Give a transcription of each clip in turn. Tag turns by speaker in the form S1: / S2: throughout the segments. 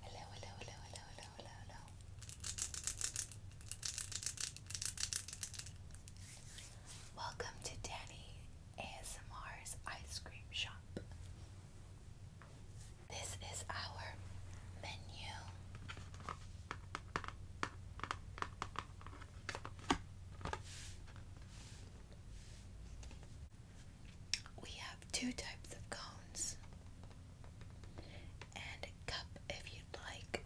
S1: Hello, hello, hello, hello, hello, hello, Welcome to Danny ASMR's Ice Cream Shop. This is our menu. We have two types of cones and a cup if you'd like.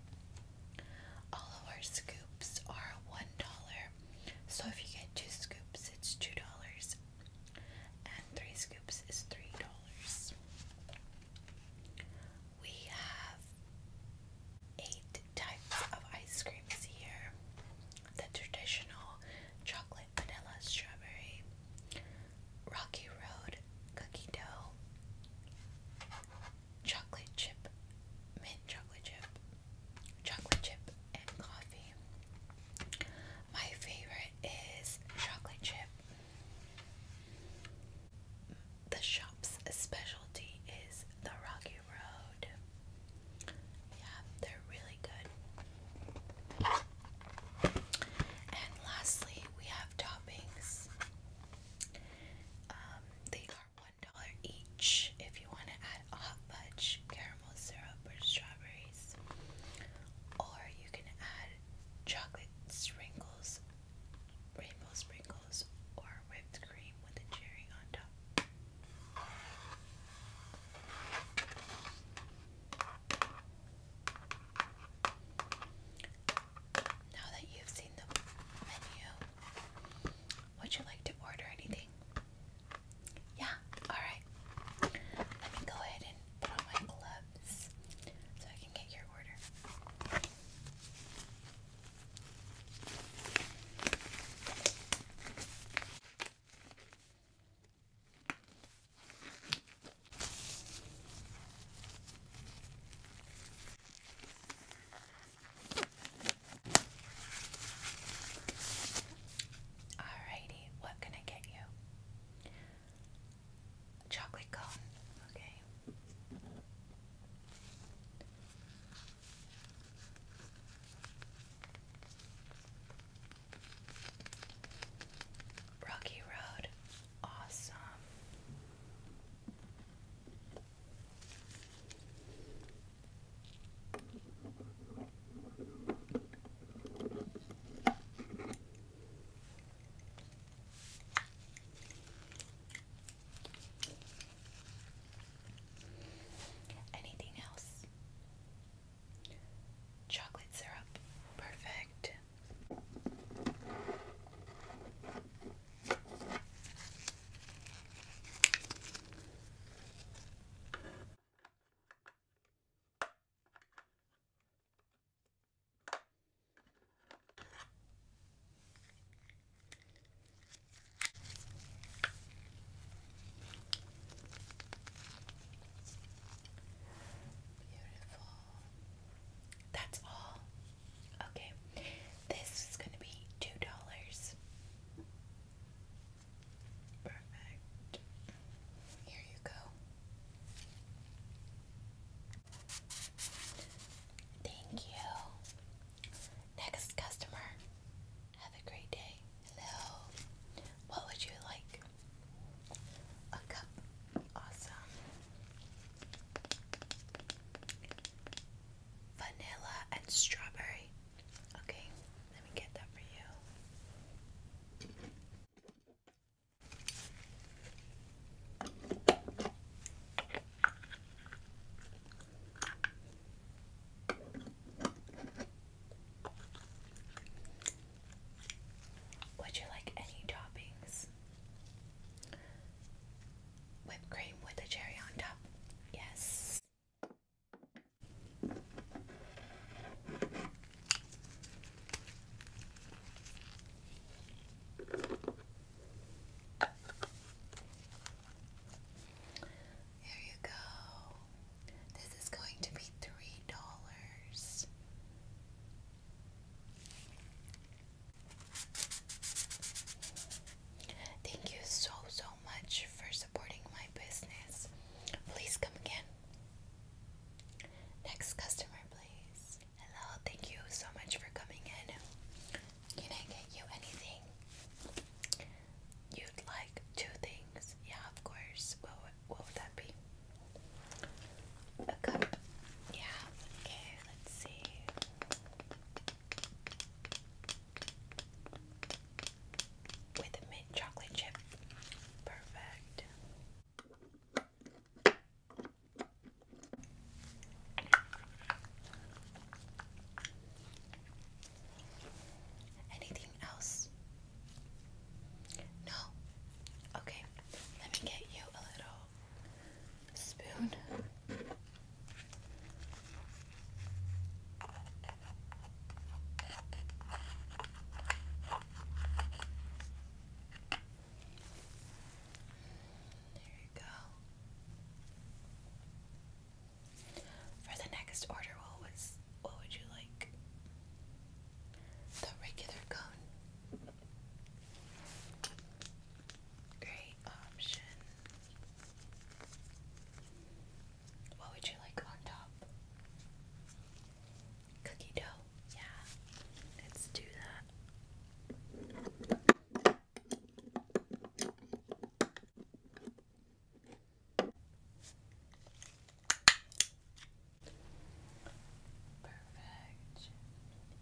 S1: All of our scoops are one dollar, so if you get two scoops, it's two dollars, and three scoops is three dollars. We have eight types of ice creams here the traditional chocolate vanilla, strawberry, rocky road, cookie dough, chocolate chip, mint chocolate chip, chocolate chip, and coffee. My favorite is chocolate chip. The shop's specialty is the Rocky Road. Yeah, they're really good. And lastly, we have toppings. Um, they are one dollar each if you want to add a hot fudge, caramel syrup, or strawberries. Or you can add chocolate sprinkles, rainbow sprinkles, or whipped cream with a cherry on top. Now that you've seen the menu, would you like to order anything? Yeah, alright. Let me go ahead and put on my gloves so I can get your order. Alrighty, what can I get you? Chocolate cone, okay. Rocky Road, awesome. Anything else? Chocolate syrup. Perfect. Beautiful. That's all. Okay. This is going to be two dollars. Perfect. Here you go. Thank you. Next customer. Have a great day. Hello. What would you like? A cup. Awesome. Vanilla and strawberry. Okay, let me get that for you. Would you like any toppings? Whipped cream with a cherry on top. Yes. There you go. This is going to be three dollars. Thank you so, so much for supporting my business. Please come again. Next customer, please. Hello, thank you so much for coming in. Can I get you anything? You'd like two things. Yeah, of course. What what would that be? A cup. Yeah. Okay, let's see. With a mint chocolate chip. Perfect. Anything else? No? Okay, let me get you a little spoon. There you go. For the next order, what was what would you like? The regular cone. Great option. What would you like on top? Cookie dough. Yeah. Let's do that. Perfect.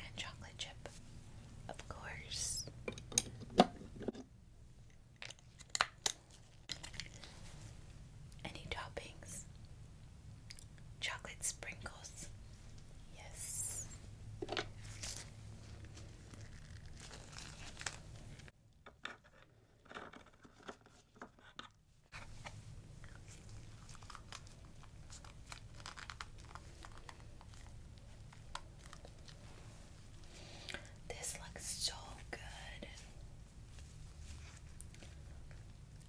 S1: And chocolate chip, of course. Any toppings? Chocolate sprinkles. Yes. This looks so good.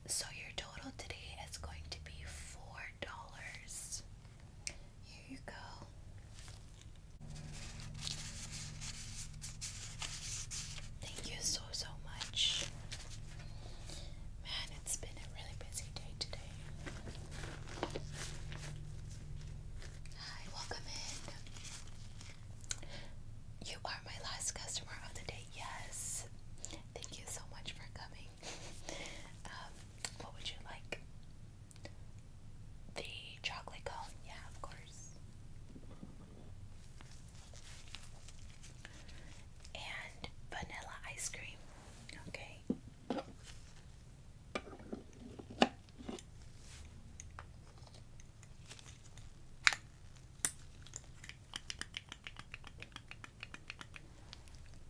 S1: So, your total today is going to be $4. Here you go. Thank you so, so much. Man, it's been a really busy day today. Hi, welcome in. You are my last customer of the day. Yes. Thank you so much for coming. Um, what would you like? The chocolate cone, yeah, of course. And vanilla ice cream, okay.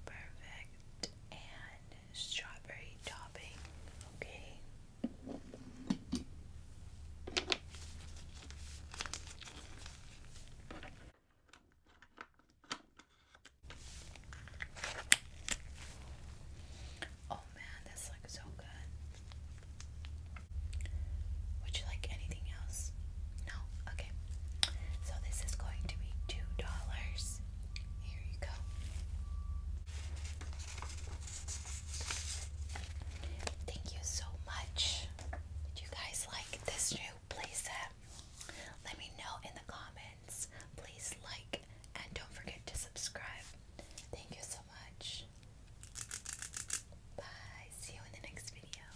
S1: Perfect. And strawberry topping. Okay. Oh man, this looks so good. Would you like anything else? No? so this is going to be two dollars. Here you go. Thank you so much. Did you guys like this new playset? Let me know in the comments. Please like and don't forget to subscribe. Thank you so much. Bye. See you in the next video.